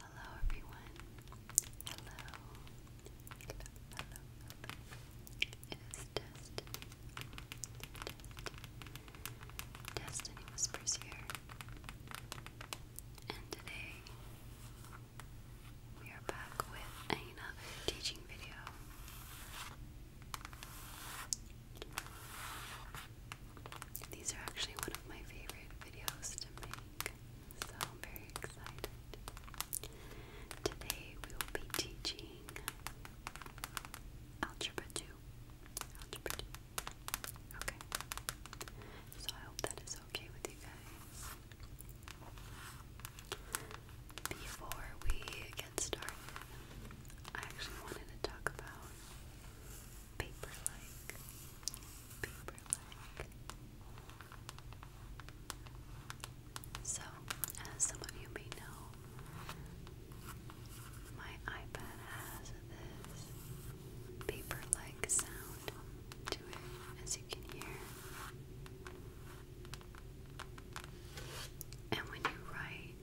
Hello everyone. Hello. Hello, It is Destiny. Destiny. Destiny Whispers here. And today we are back with another teaching video. These are actually one of my favorite videos to make, so I'm very excited. Today we will be teaching Algebra 2. Okay. So I hope that is okay with you guys. Before we get started, I actually wanted to talk about paper-like, paper-like. So, as some of you may know, my iPad has this paper-like sound to it, as you can hear. And when you write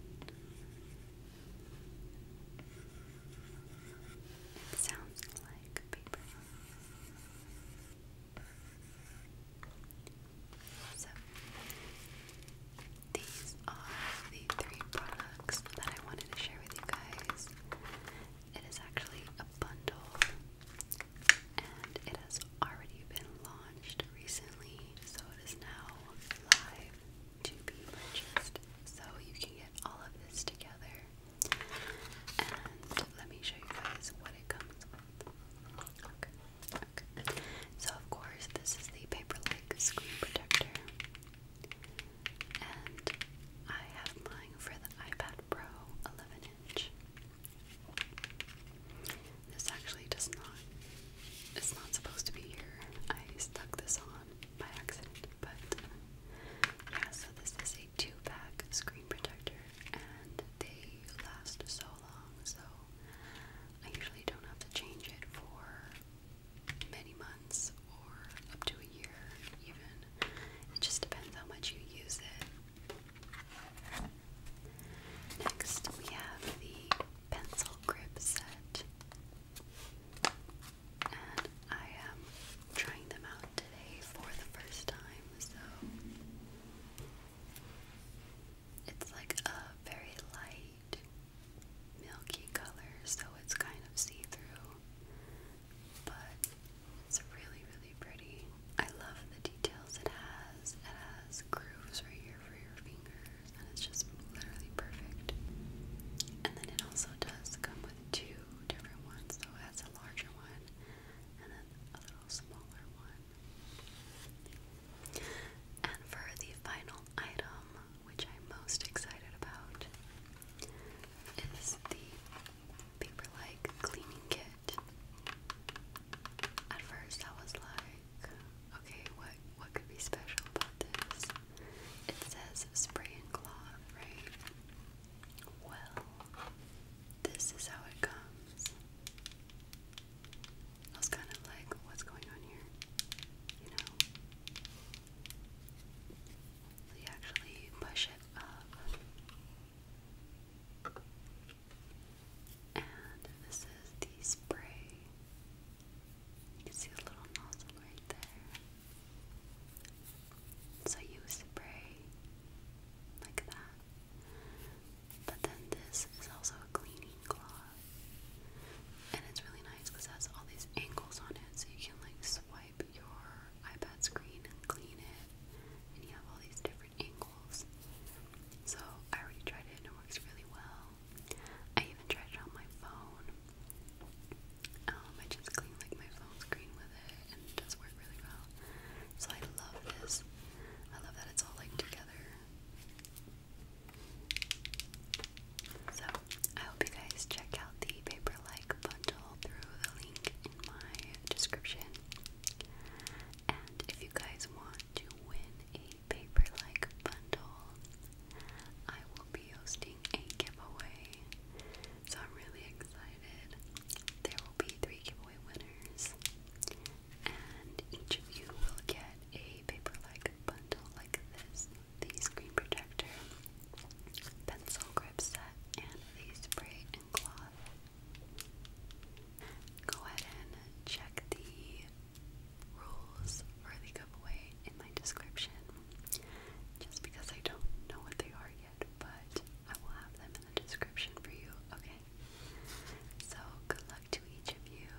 Sounds like paper. So, these are the three products that I wanted to share with you guys. It is actually a bundle and it has already been launched recently, so it is now live to be purchased. So you can get all of this together. And let me show you guys what it comes with. Okay. Okay. So of course this is the Paper-like screen protector. And I have mine for the iPad Pro 11 inch. This actually does not, it's not supposed to be here. I stuck this on by accident. But yeah, so this is a two-pack screen protector, and they last so long. So I usually don't have to change it for many months or up to a year, even. It just depends how much you use it. Next, we have the pencil grip set and I am trying them out today for the first time, so it's like a very light milky color, so it's kind of see-through, but it's really, really pretty. I love the details it has. It has grooves right here for your fingers, and it's just literally perfect. And then it also does come with two two different ones, so it a larger one and then a little smaller one. And for the final item, which I'm most excited about, is the paper-like cleaning kit. At first I was like, okay, what what could be special about this? It says spray and cloth. right? Well, this is how it comes. I was kind of like, what's going on here? You know? So you actually push it up. And this is the spray. You can see a little nozzle right there. So you spray like that. But then this is also a cleaning cloth. And it's really nice because it has all these angles on it. So you can like swipe your iPad screen clean it. And you have all these different angles. So I already tried it and it works really well. I even tried it on my phone. Um, I just clean like my phone screen with it and it does work really well. So I love this. I love that it's all like together. So I hope you guys check out the paper like bundle through the link in my description. And if you guys want to win a paper like bundle, I will be hosting a giveaway so I'm really excited. There will be three giveaway winners, and each of you will get a paper-like bundle like this: these screen protector, pencil grip set, and these spray and cloth. Go ahead and check the rules for the giveaway in my description just because I don't know what they are yet, but I will have them in the description for you, okay? So, good luck to each of you,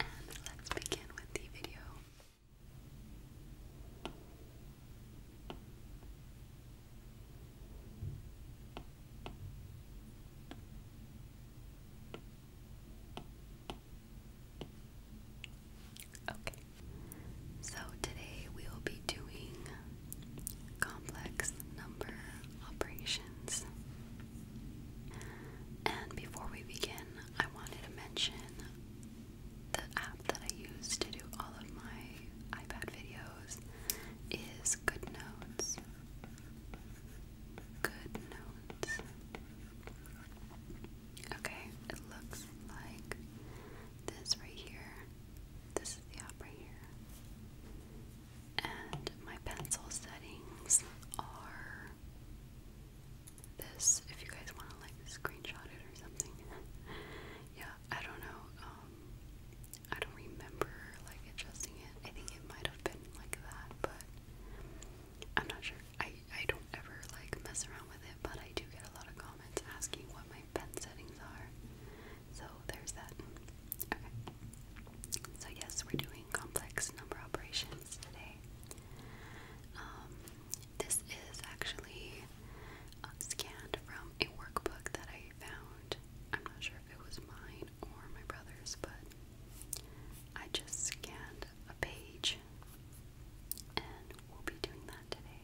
and let's begin with the video. Okay, Okay, so today we will be doing complex number operations. And before we begin, I wanted to mention the app that I use to do all of my iPad videos is Good Notes. Okay, it looks like this right here. This is the opera here. And my pencil settings are this, if you guys want to like screenshot it or something. yeah, I don't know. Um, I don't remember like adjusting it. I think it might have been like that, but I'm not sure. I I don't ever like mess around with it, but I do get a lot of comments asking what my pen settings are. So there's that. Okay. So yes, we're doing complex number operations today. Um, this is actually uh, scanned from a workbook that I found. I'm not sure if it was mine or my brother's, but I just scanned a page and will be doing that today.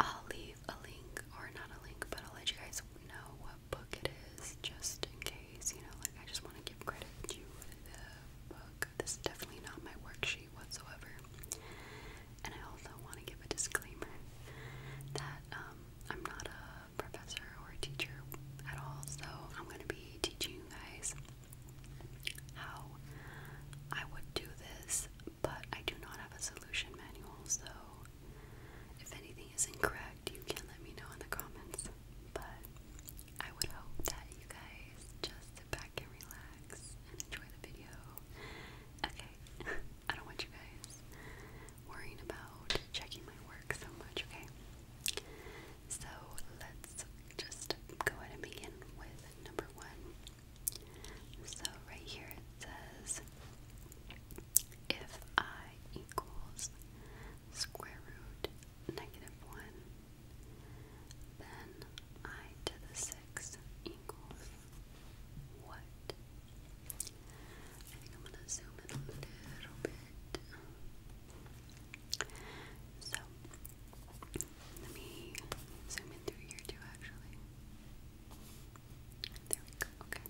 I'll leave a link, or not a link, but I'll let you guys know what book it is, just in case, you know, like I just want to give credit to the book. This is definitely not my worksheet whatsoever. And I also want to give a disclaimer that um, I'm not a professor or a teacher at all, so I'm going to be teaching you guys how I would do this, but I do not have a solution manual, so if anything is incorrect, you can let me know in the comments. But I would hope that you guys just sit back and relax and enjoy the video. Okay, I don't want you guys worrying about checking my work so much, okay? So let's just go ahead and begin with number one. So right here it says if I equals square root negative 1, then I to the 6 equals what? I think I'm going to zoom in a little bit. So let me zoom in through here too, actually. There we go, okay.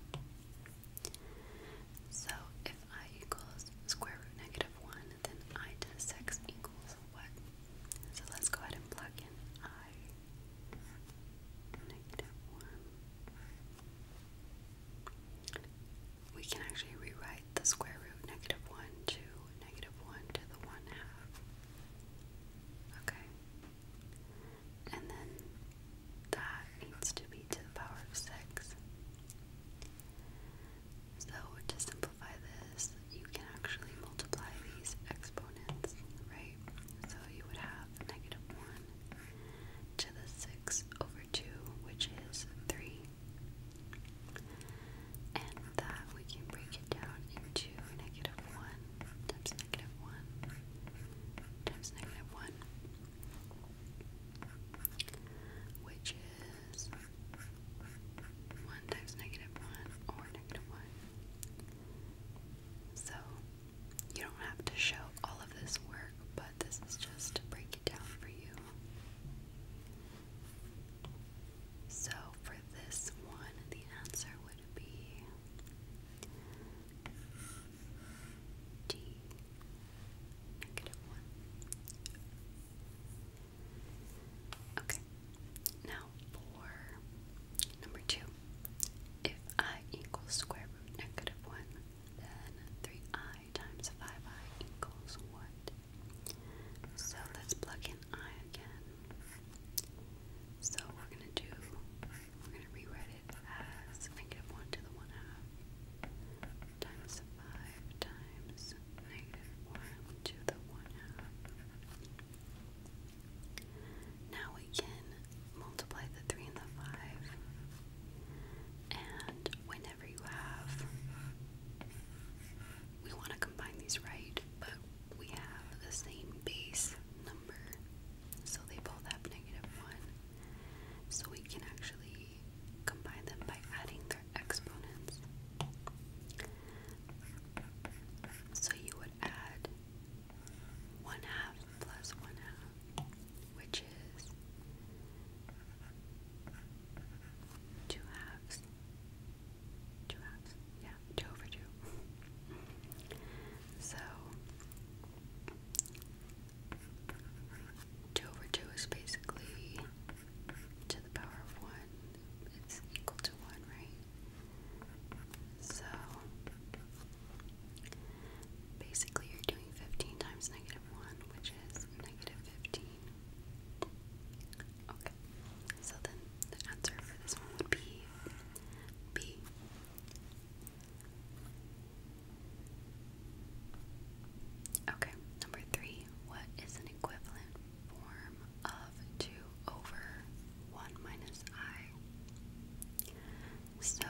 So if I equals square root negative 1, then I to the 6 equals what? So let's go ahead and plug in I negative 1. We can actually rewrite the square root negative 1 to negative 1 to the 1 half. Okay. And then that needs to be to the power of 6. So to simplify this, you can actually multiply these exponents, right? So you would have negative 1 to the 6 over 2, which is 3 and that we can break it down into negative 1 times negative 1 times negative 1, which is 1 times negative 1 or negative 1. So you don't have to show all of this work, but this is just to break it down for you. So for this one, the answer would be D, negative 1. Okay, now for number 2. If i equals square root negative 1, then 3i times 5i equals what? So let's plug in I again. So we're gonna do we're gonna rewrite it as negative one to the one half times five times negative one to the one half. Now we can multiply the three and the five. And whenever you have, we want to combine these right, but we have the same base number, so they both have negative 1. So we can actually combine them by adding their exponents. So you would add 1 half plus 1 half, which is 2 halves Two rounds. Yeah, two over two. so, two over two is basically to the power of one. It's equal to one, right? So, basically you're doing 15 times negative one, which is negative 15. Okay. So then the answer for this one would be B. Okay, number three. What is an equivalent form of 2 over 1 minus i? So,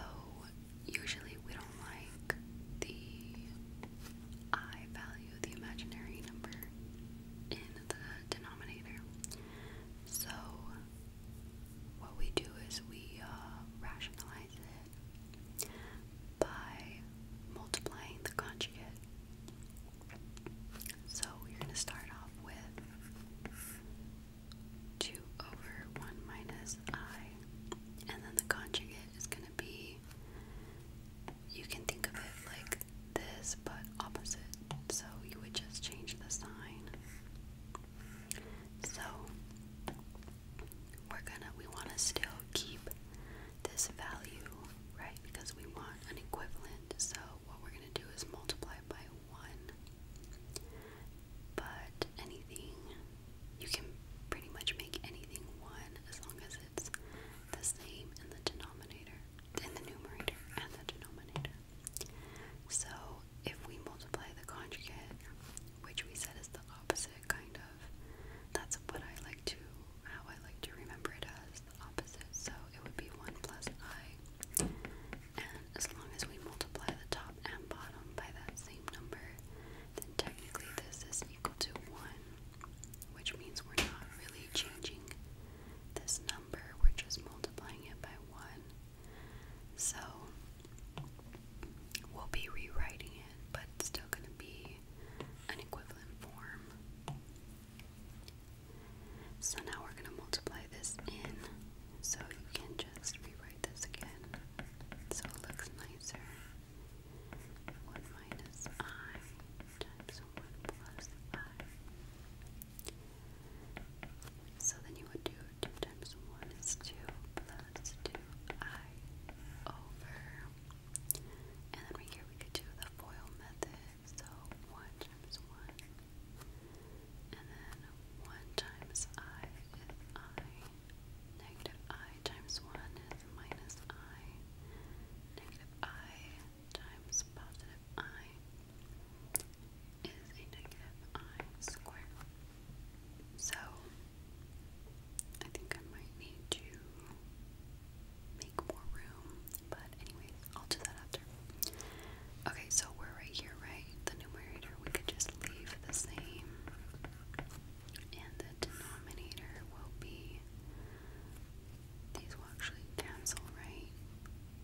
usually we don't like the i value, the imaginary number, in the denominator. So, what we do is we uh, rationalize it by multiplying the conjugate. So, you're going to start off with 2 over 1 minus i, and then the conjugate is going to be, you can think of it like this but opposite, so you would just change the sign. So we're gonna we wanna still keep this value, right? Because we want an equivalent, so what we're gonna do is multiply by one. But anything you can pretty much make anything one as long as it's the same in the denominator in the numerator and the denominator. So if we multiply the conjugate, which we said is the opposite kind of, that's what I like to, how I like to remember it as the opposite. So it would be 1 plus i, and as long as we multiply the top and bottom by that same number, then technically this is equal to 1, which means we're not really changing this number, we're just multiplying it by 1. So we'll be rewriting it, but it's still going to be an equivalent form. So now we're going to multiply this in, so you can just rewrite this again so it looks nicer. 1 minus i times 1 plus 5. So then you would do 2 times 1 is 2 plus 2i over. And then right here we could do the FOIL method. So 1 times 1. And then 1 times i is i. Negative i times 1 is minus i. Negative i times positive i is a negative i squared. So, I think I might need to make more room, but anyways, I'll do that after. Okay, so we're right here, right? The numerator, we could just leave the same. And the denominator will be, these will actually cancel, right?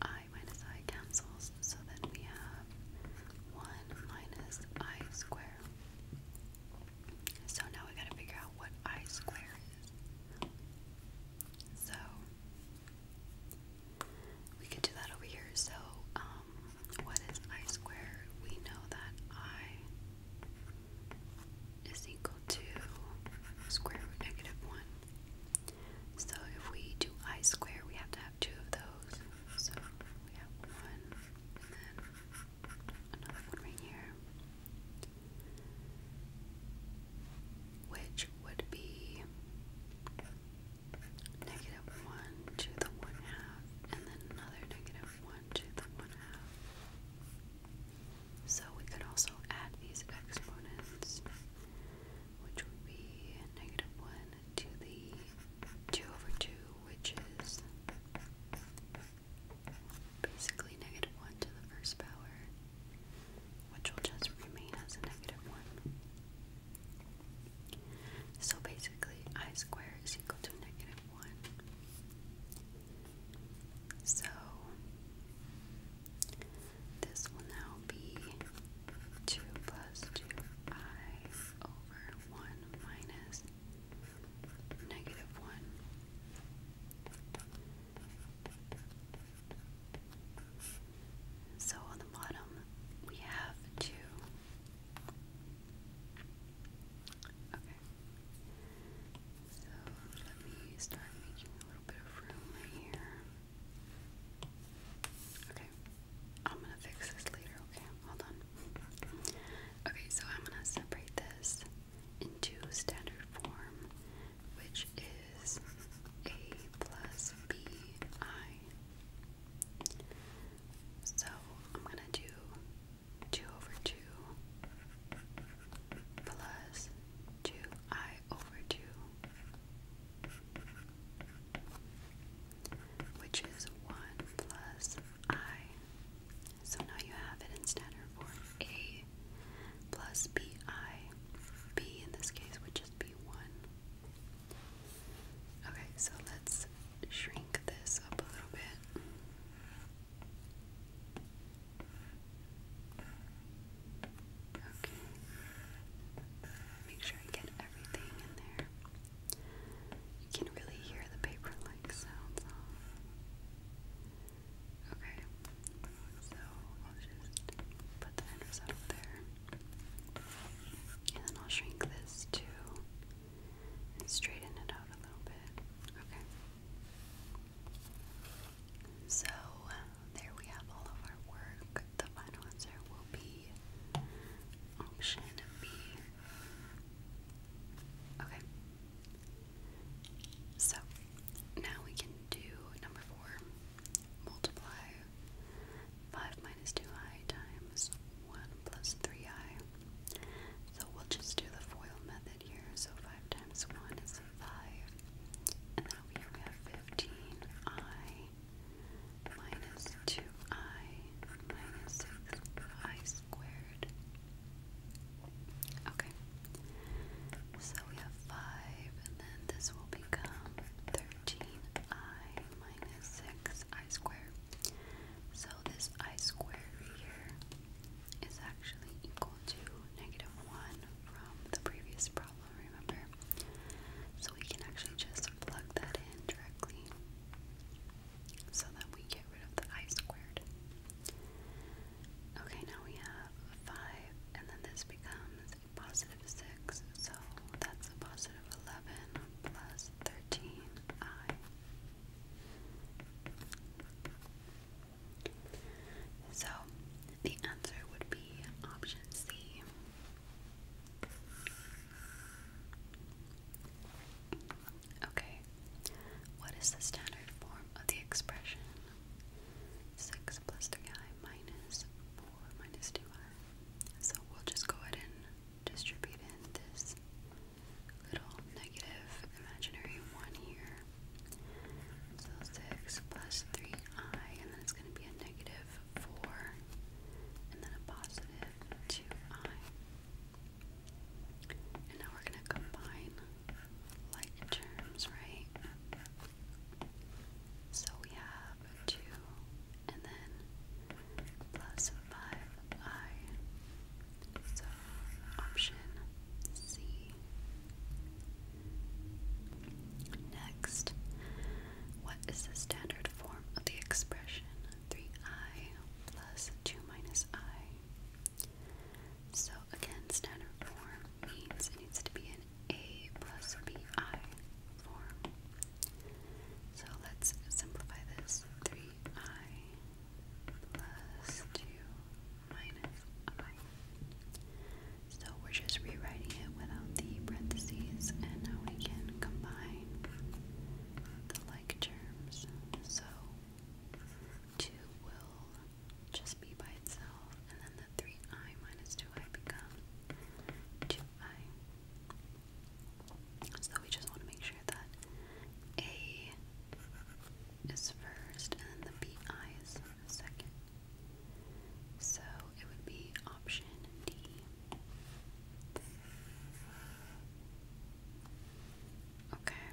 I minus i cancels, so that we have 1 minus i squared. So now we gotta figure out what i squared is. So we could do that over here. So, um, what is i squared? We know that i is equal to square root negative 1. So if we do I square, we have to have two of those. So we have one, and then another one right here. Which would be negative 1 to the 1 half, and then another negative 1 to the 1 half. So we could also add these exponents which would be negative 1 to the 2 over 2, which is basically negative 1 to the first power, which will just remain as a negative 1. So basically, i squared is equal to negative 1. So this will now be 2 plus 2i over 1 minus negative 1. So on the bottom, we have 2. Okay. So let me start making a little bit of room here. Okay. I'm gonna fix this later, okay? Hold on. Okay, so I'm gonna separate this into standard form, which is A plus BI. So I'm gonna do 2 over 2 plus 2i over 2 which is 1 plus i. So now you have it in standard form a plus bi. b in this case would just be 1. Okay, so let's shrink this up a little bit. Okay. Make sure I get everything in there. You can really hear the paper like sounds Okay. So I'll just put the enders out there. And then I'll shrink this too and straighten it out a little bit. Okay. So, there we have all of our work. The final answer will be option B. Okay. So now we can do number four. Multiply 5 minus 2i times 1 plus 3i. So we'll just do the FOIL method here. So 5 times 1 is 5. And then we have 15i minus 2i minus 6i squared. Okay. So we have 5, and then this will become 13i minus 6i squared. So this i squared here is actually equal to negative 1 from the previous problem remember? So we can actually just plug that in directly so that we get rid of the I squared. Okay, now we have 5, and then this becomes a positive 6, so that's a positive 11 plus 13i. So the answer would be option C. Okay, what is the standard form of the expression? 6 plus 3i minus 4 minus 2i. So we'll just go ahead and distribute in this little negative imaginary 1 here. So 6 plus 3i, and then it's going to be a negative four, and then a positive two i. And now we're going to combine like terms, right? So we have two and then plus five i. So option C Next, what is the standard form of the expression 3i plus 2 minus i? So again, standard form means it needs to be an a plus bi form. So let's simplify this 3i plus 2 minus i. So we're just rewriting it without um, the parentheses, and now we can combine the like terms. So 2 will just be by itself, and then the 3i minus 2i become 2i. So we just want to make sure that A is first, and the BI is second. So it would be option D. Okay.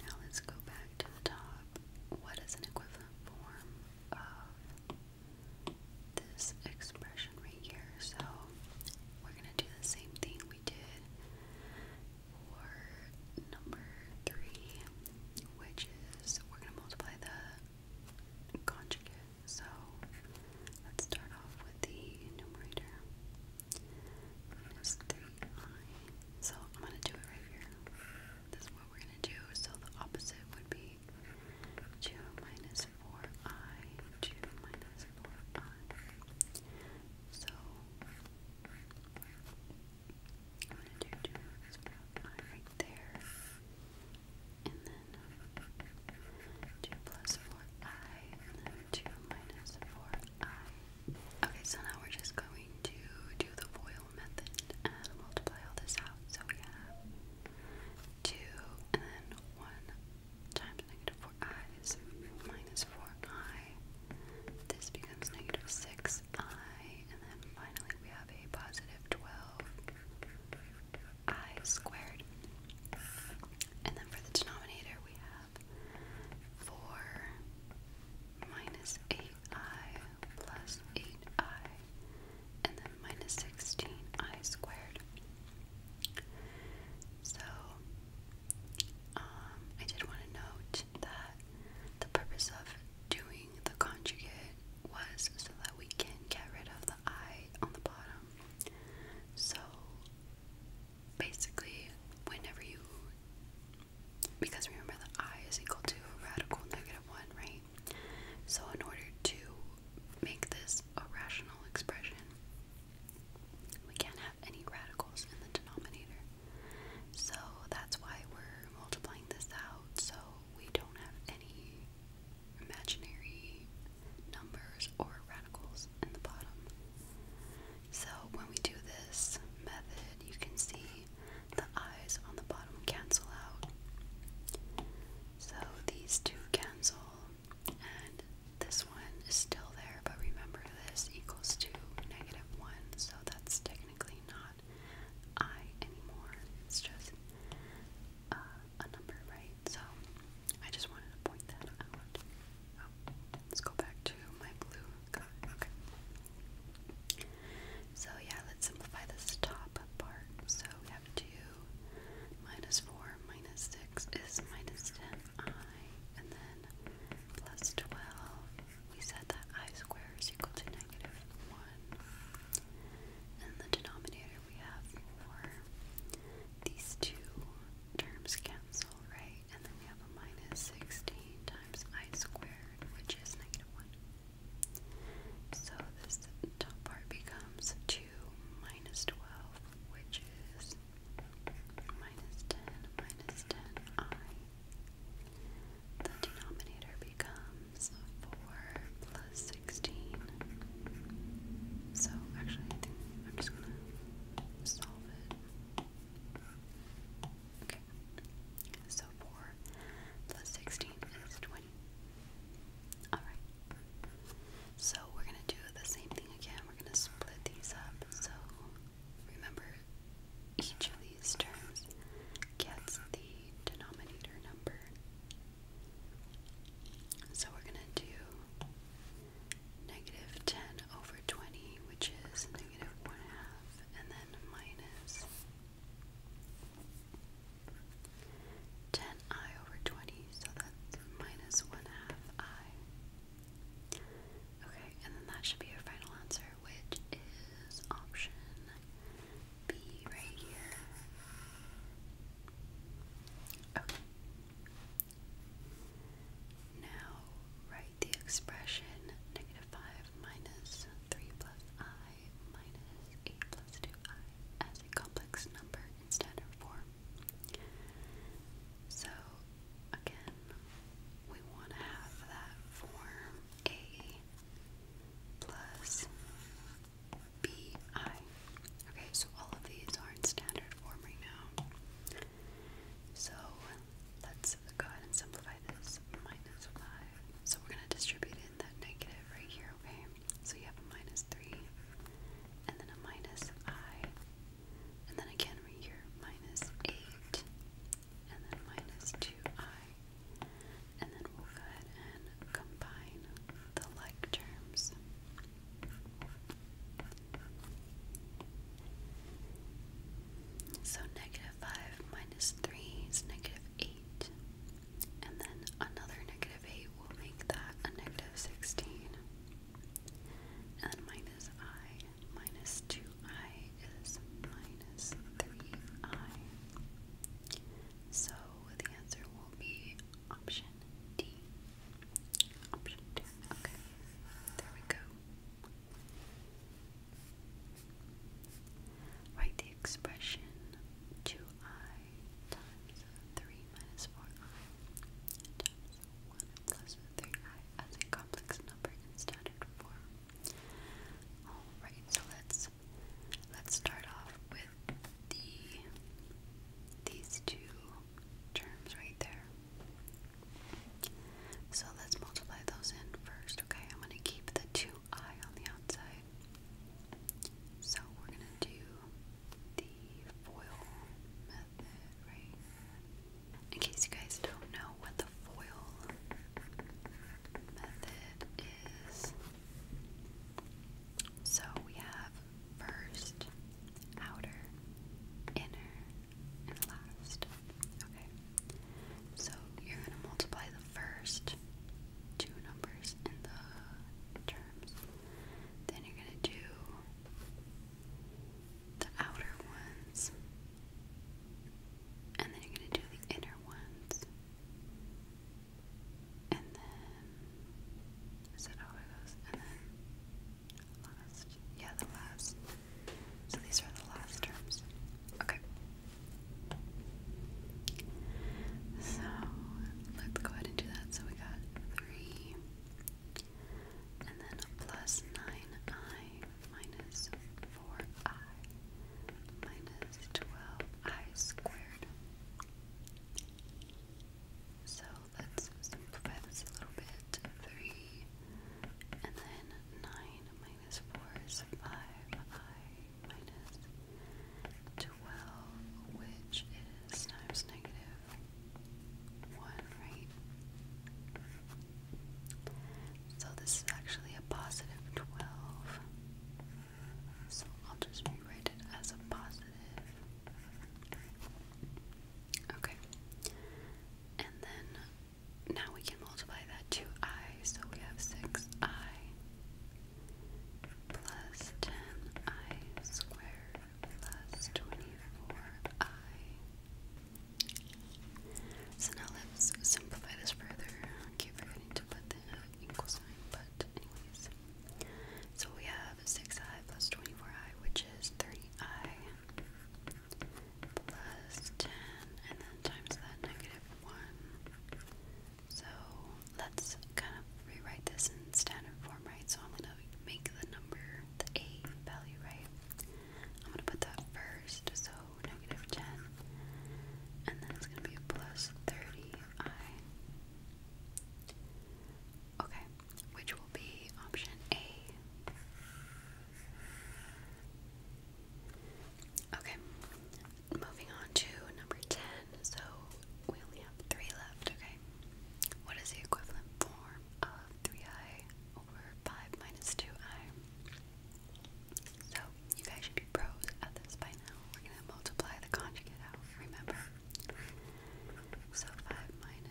Now let's go back to the top. What is an equivalent form of this expression right here? So we're going to do the same thing we did for number three which is we're going to multiply the conjugate. So let's start off with the numerator minus 3i. So I'm going to do it right here. This is what we're going to do. So the opposite would be 2 minus 4i, 2 minus 4i. So I'm going to do this brown line right there. And then 2 plus 4i, and then 2 minus 4i. Okay, so now we're just going to do the FOIL method and multiply all this out. So we have 2 and then 1 times negative 4i is minus 4i. This becomes negative 6 I, and then finally we have a positive 12 I squared. And then for the denominator we have 4 minus 8i plus 8i, and then minus 16i squared. So, um, I did want to note that the purpose of doing the conjugate was so that we can get rid of the I on the bottom. So basically, whenever you, because remember the I is equal to radical negative 1, right? So in order to make this a rational expression, we can't have any radicals in the denominator. So that's why we're multiplying this out. So we don't have any imaginary numbers or radicals in the bottom. So when we do this method, you can see the eyes on the bottom cancel out. So these two cancel, and this one is still there, but remember this equals to negative 1, so that's technically not I anymore. It's just uh, a number, right? So I just wanted to point that out. Oh, let's go back to my blue Okay. So yeah, let's simplify this top part. So we have 2 minus 4 minus 6 is minus 10i. And then plus 12, we said that i squared is equal to and the denominator we have 4. These two terms cancel, right? And then we have a minus 16 times i squared, which is negative 1. So this top part becomes 2 minus 12, which is minus 10 minus 10i. The denominator becomes 4 plus 16. So actually, I think I'm just going to solve it. Okay. So 4 plus 16 is 20. Alright. So we're going to do the same thing again. We're going to split these up. So remember, each of these terms gets the denominator number. So we're going to do negative 10 over 20, which is negative 1 half, and then minus 10i over 20, so that's minus 1 half i. Okay, and then that should be your final answer, which is option be right here. Okay. Now write the expression negative 5 minus 3 plus i minus 8 plus 2i as a complex number instead of 4. So, again, we want to have that form a plus BI. Okay, so all of these are in standard form right now. So let's go ahead and simplify this. Minus 5. So we're going to distribute in that negative right here, okay? So you have a minus 3, and then a minus i, and then again right here, minus 8, and then minus 2i. And then we'll go ahead and combine the like terms. So negative 5 minus 3 is negative 8. And then another negative 8 will make that a negative 16. And minus i minus 2i is minus 3i. So the answer will be option D. Okay. There we go. Write the expression 2i times 3 minus 4i times 1 plus 3i as a complex number in standard form. Alright, so let's Let's start off with the these two terms right there. So let's multiply those in first, okay? I'm gonna keep the 2i on the outside. So we're gonna do the foil method, right? In case you guys don't know what the foil method is so we have first, outer, inner, and last. Okay. So you're going to multiply the first two numbers and the terms. Then you're going to do the outer ones. And then you're going to do the inner ones. And then is that how it goes? And then last. Yeah, the last. So these are the last terms. Okay. So let's go ahead and do that. So we got three and then plus nine I minus four I minus twelve I squared. So let's simplify this a little bit. 3 and then 9 minus 4 is 5i minus 12, which is times negative 1, right? So this is actually a positive 12. So I'll just rewrite it as a positive. Okay. And then now we can multiply that to i, so we have 6i plus 10i squared plus 24i. So now let's simplify this further. keep forgetting to put the but anyways. So we have 6i plus 24i, which is 30i plus 10, and then times that negative 1. So let's kind of rewrite this in standard form, right? So I'm going to make the number, the a value, right? I'm going to put that first, so negative 10, and then it's going to be plus 30i Okay, which will be option A. Okay, moving on to number 10. So we only have three left, okay? What is the equivalent form of 3i over 5 minus 2i? So you guys should be pros at this by now. We're going to multiply the conjugate out, remember? So 5 one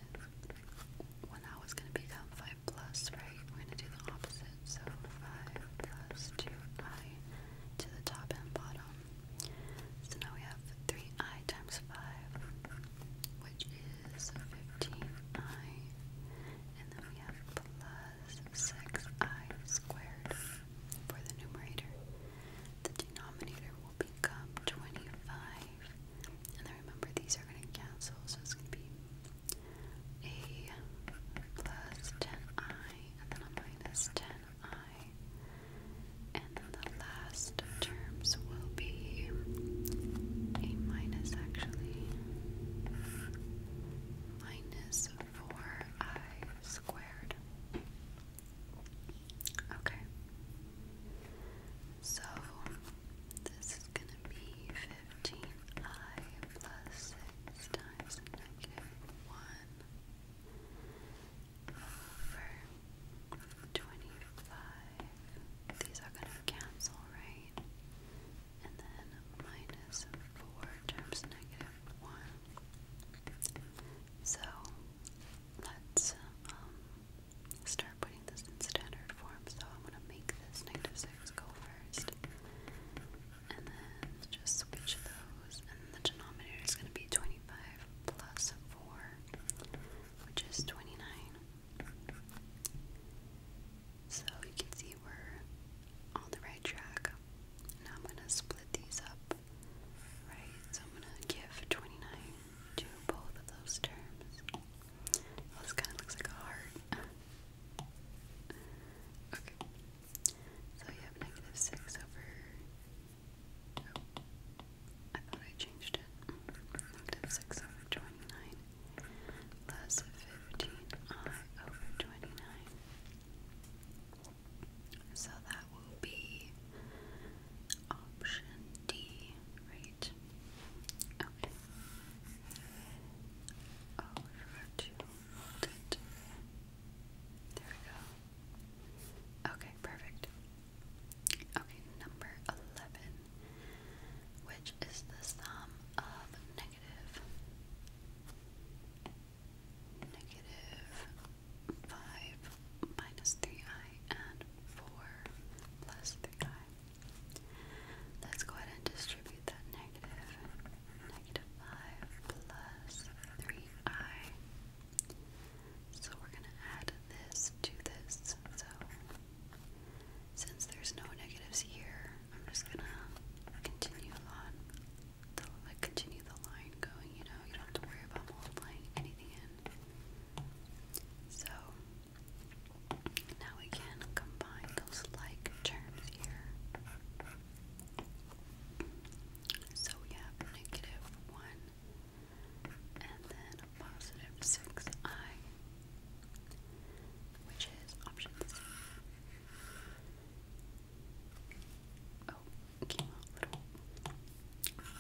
well now going to become 5 plus, right? We're going to do the opposite. So 5 plus 2i to the top and bottom. So now we have 3i times 5, which is 15i. And then we have plus 6i squared for the numerator. The denominator will become 25. And then remember, these are going to cancel, so it's going to be a plus 10i, and then a minus 10i. And then the last terms will be a minus, actually, minus 4i squared. Okay. So this is going to be 15i plus 6 times negative 1 over 25. These are going to cancel, right? And then minus 4 times negative 1 so let's um, start putting this in standard form. So I'm going to make this negative 6 go first. And then just switch those. And the denominator is going to be 25 plus 4, which is 29. So you can see we're on the right track. Now I'm going to split these up Right, so I'm gonna give 29 to both of those terms. this kind of looks like a heart. okay, so you have negative 6 over. Oh, I thought I changed it. Negative 6 over 29 15i uh, over 29. So that will be option D, right? Okay. Oh, forgot to hold it. There we go. Okay, perfect. Okay, number 11, which is the sum of negative negative 5 minus 3i and 4 plus 3i. Let's go ahead and distribute that negative. Negative 5 plus 3i. So we're going to add this to this. So since there's no negatives here, I'm just going to continue on the, continue the line going, you know, you don't have to worry about multiplying anything in. So now we can combine those like terms here. So we have negative 1 and then positive 6i, which is option C. Oh, little,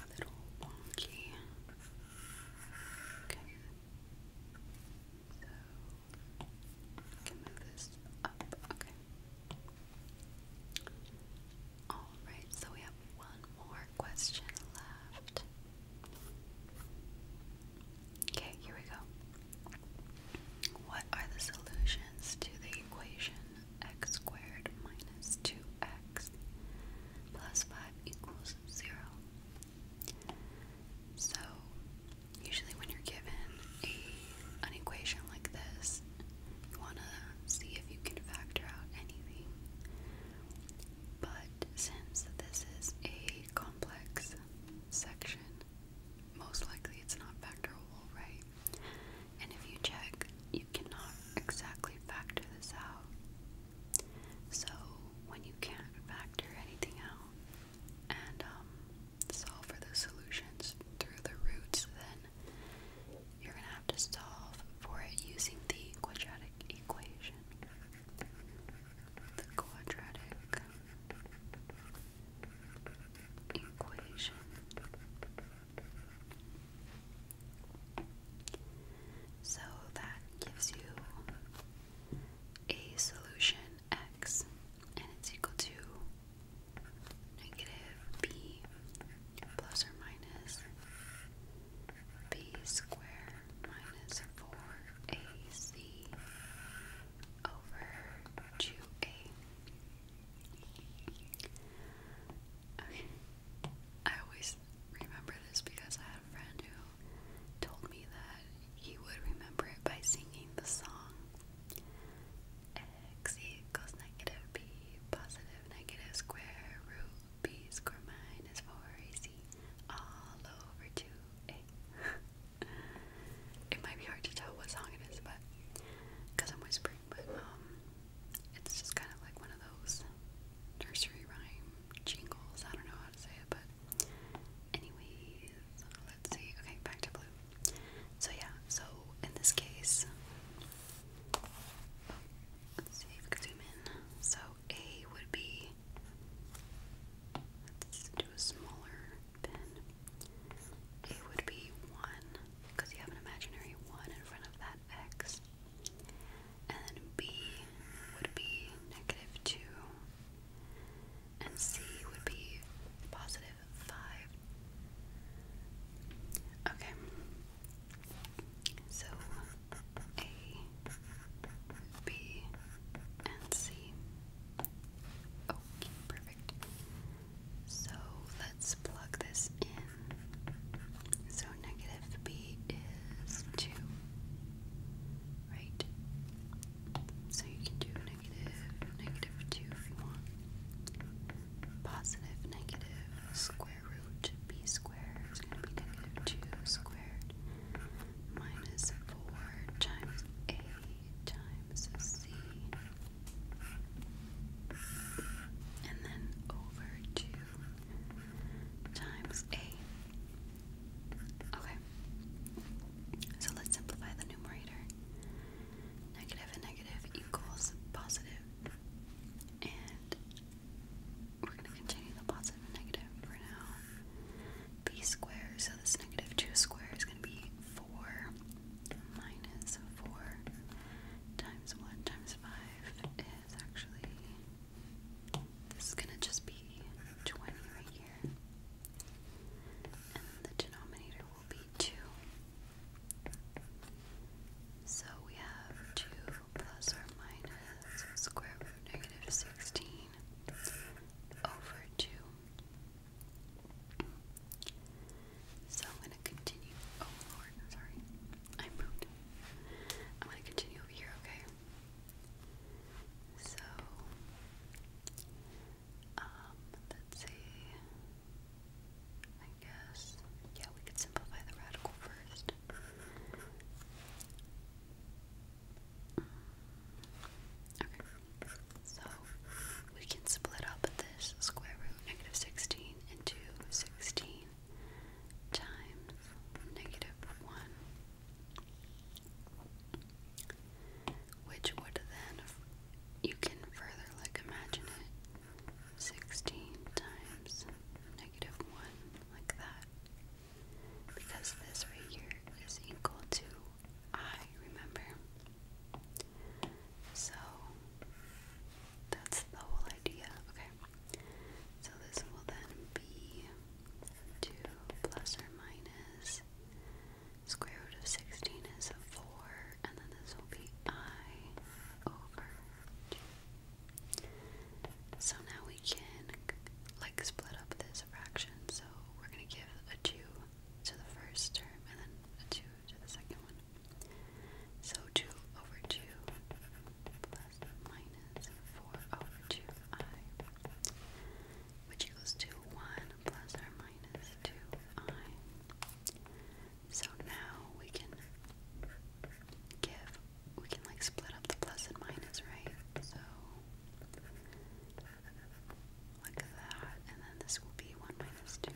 little wonky. Okay. So, I can move this up. Okay. Alright, so we have one more question left. Okay, here we go. What are the solutions to the equation x squared minus 2x plus 5 equals 0. So, usually when you're given an equation like this, you want to see if you can factor out anything. But since this is a complex section, most likely it's not factorable, right? And if you check, you cannot exactly factor this out. So, when you can't factor anything out and um, solve for the solutions through the roots, then you're going to have to solve for it using the quadratic equation. The quadratic equation. So that gives you a solution x, and it's equal to negative b plus or minus b squared minus 4ac over 2a. I always remember this because I had a friend who told me that he would remember it by singing the song X equals negative B positive negative square root B square minus 4AC all over 2 it might be hard to tell what song it is, but because I'm whispering, but um, it's just kind of like one of those nursery rhyme jingles. I don't know how to say it, but anyways, let's see. Okay, back to blue. So yeah, so in this case, let's see if we can zoom in. So A would be. Let's do a smaller pin. It would be 1, because you have an imaginary 1 in front of that x. And then b would be negative 2. And c would be positive 5. Okay. So a, b, and c. Okay, oh, perfect. So let's plug this in. So negative b is 2, right? So you can do negative, negative 2 if you want. Positive, negative, square root of b squared is going to be negative 2 squared minus 4 times a times c and then over to times a. Okay, so let's simplify the numerator. Negative and negative equals positive, and we're going to continue the positive and negative for now. B squared, so this negative 2 squared is going to be 4 minus 4 times 1 times 5 is actually, this is going to just be 20 right here. And the denominator will be 2. So we have 2 plus or minus square root negative of 16 over 2. So I'm gonna continue. Oh Lord, sorry, I moved. I'm gonna continue over here, okay? So, um, let's see. I guess, yeah, we could simplify the radical first. Mm, okay, so we can split up this square root negative 16 into 16 times negative 1, which would then, you can further like imagine it, 16 times negative 1, like that. Because this right here is equal to I, remember? So, that's the whole idea. Okay. So this will then be 2 plus or minus square root of 16 is 4, and then this will be i over 2. So now we can like split up this fraction. So we're going to give a 2 to the first term and then a 2 to the second one. So 2 over 2 plus minus 4 over 2i, which equals to 1 plus or minus 2i. So now we can give, we can like split up the plus and minus, right? So like that, and then this will be 1 minus 2i.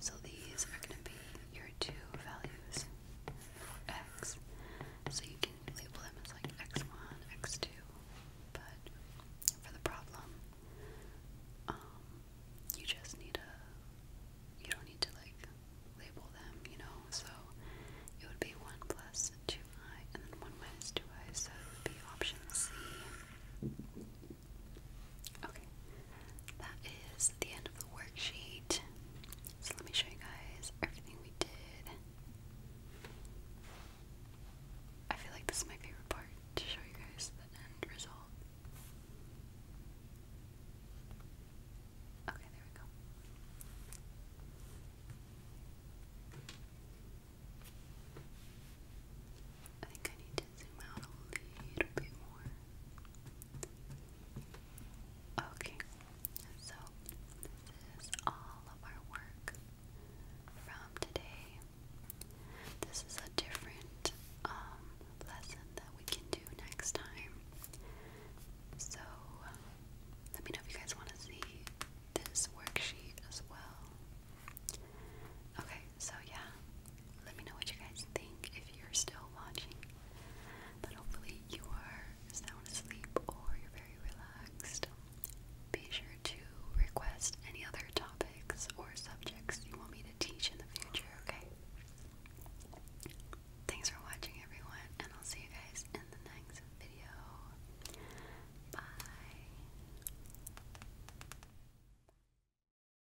So these are going to be your two values for x. So you can label them as like x1, x2, but for the problem, um, you just need a, you don't need to like label them, you know, so it would be 1 plus 2i and then 1 minus 2i, so it would be option C. Okay, that is the end of the worksheet. So let me show you guys everything we did. I feel like this is my favorite part to show you guys the end result. Okay, there we go. I think I need to zoom out a little bit more. Okay, so this is all of our work from today. This is a different um, lesson that we can do next time. So let me know if you guys want to see this worksheet as well. Okay, so yeah, let me know what you guys think if you're still watching. But hopefully, you are sound asleep or you're very relaxed. Be sure to request any other topics or subjects you want me to teach in the future, okay? Thanks for watching, everyone, and I'll see you guys in the next video. Bye.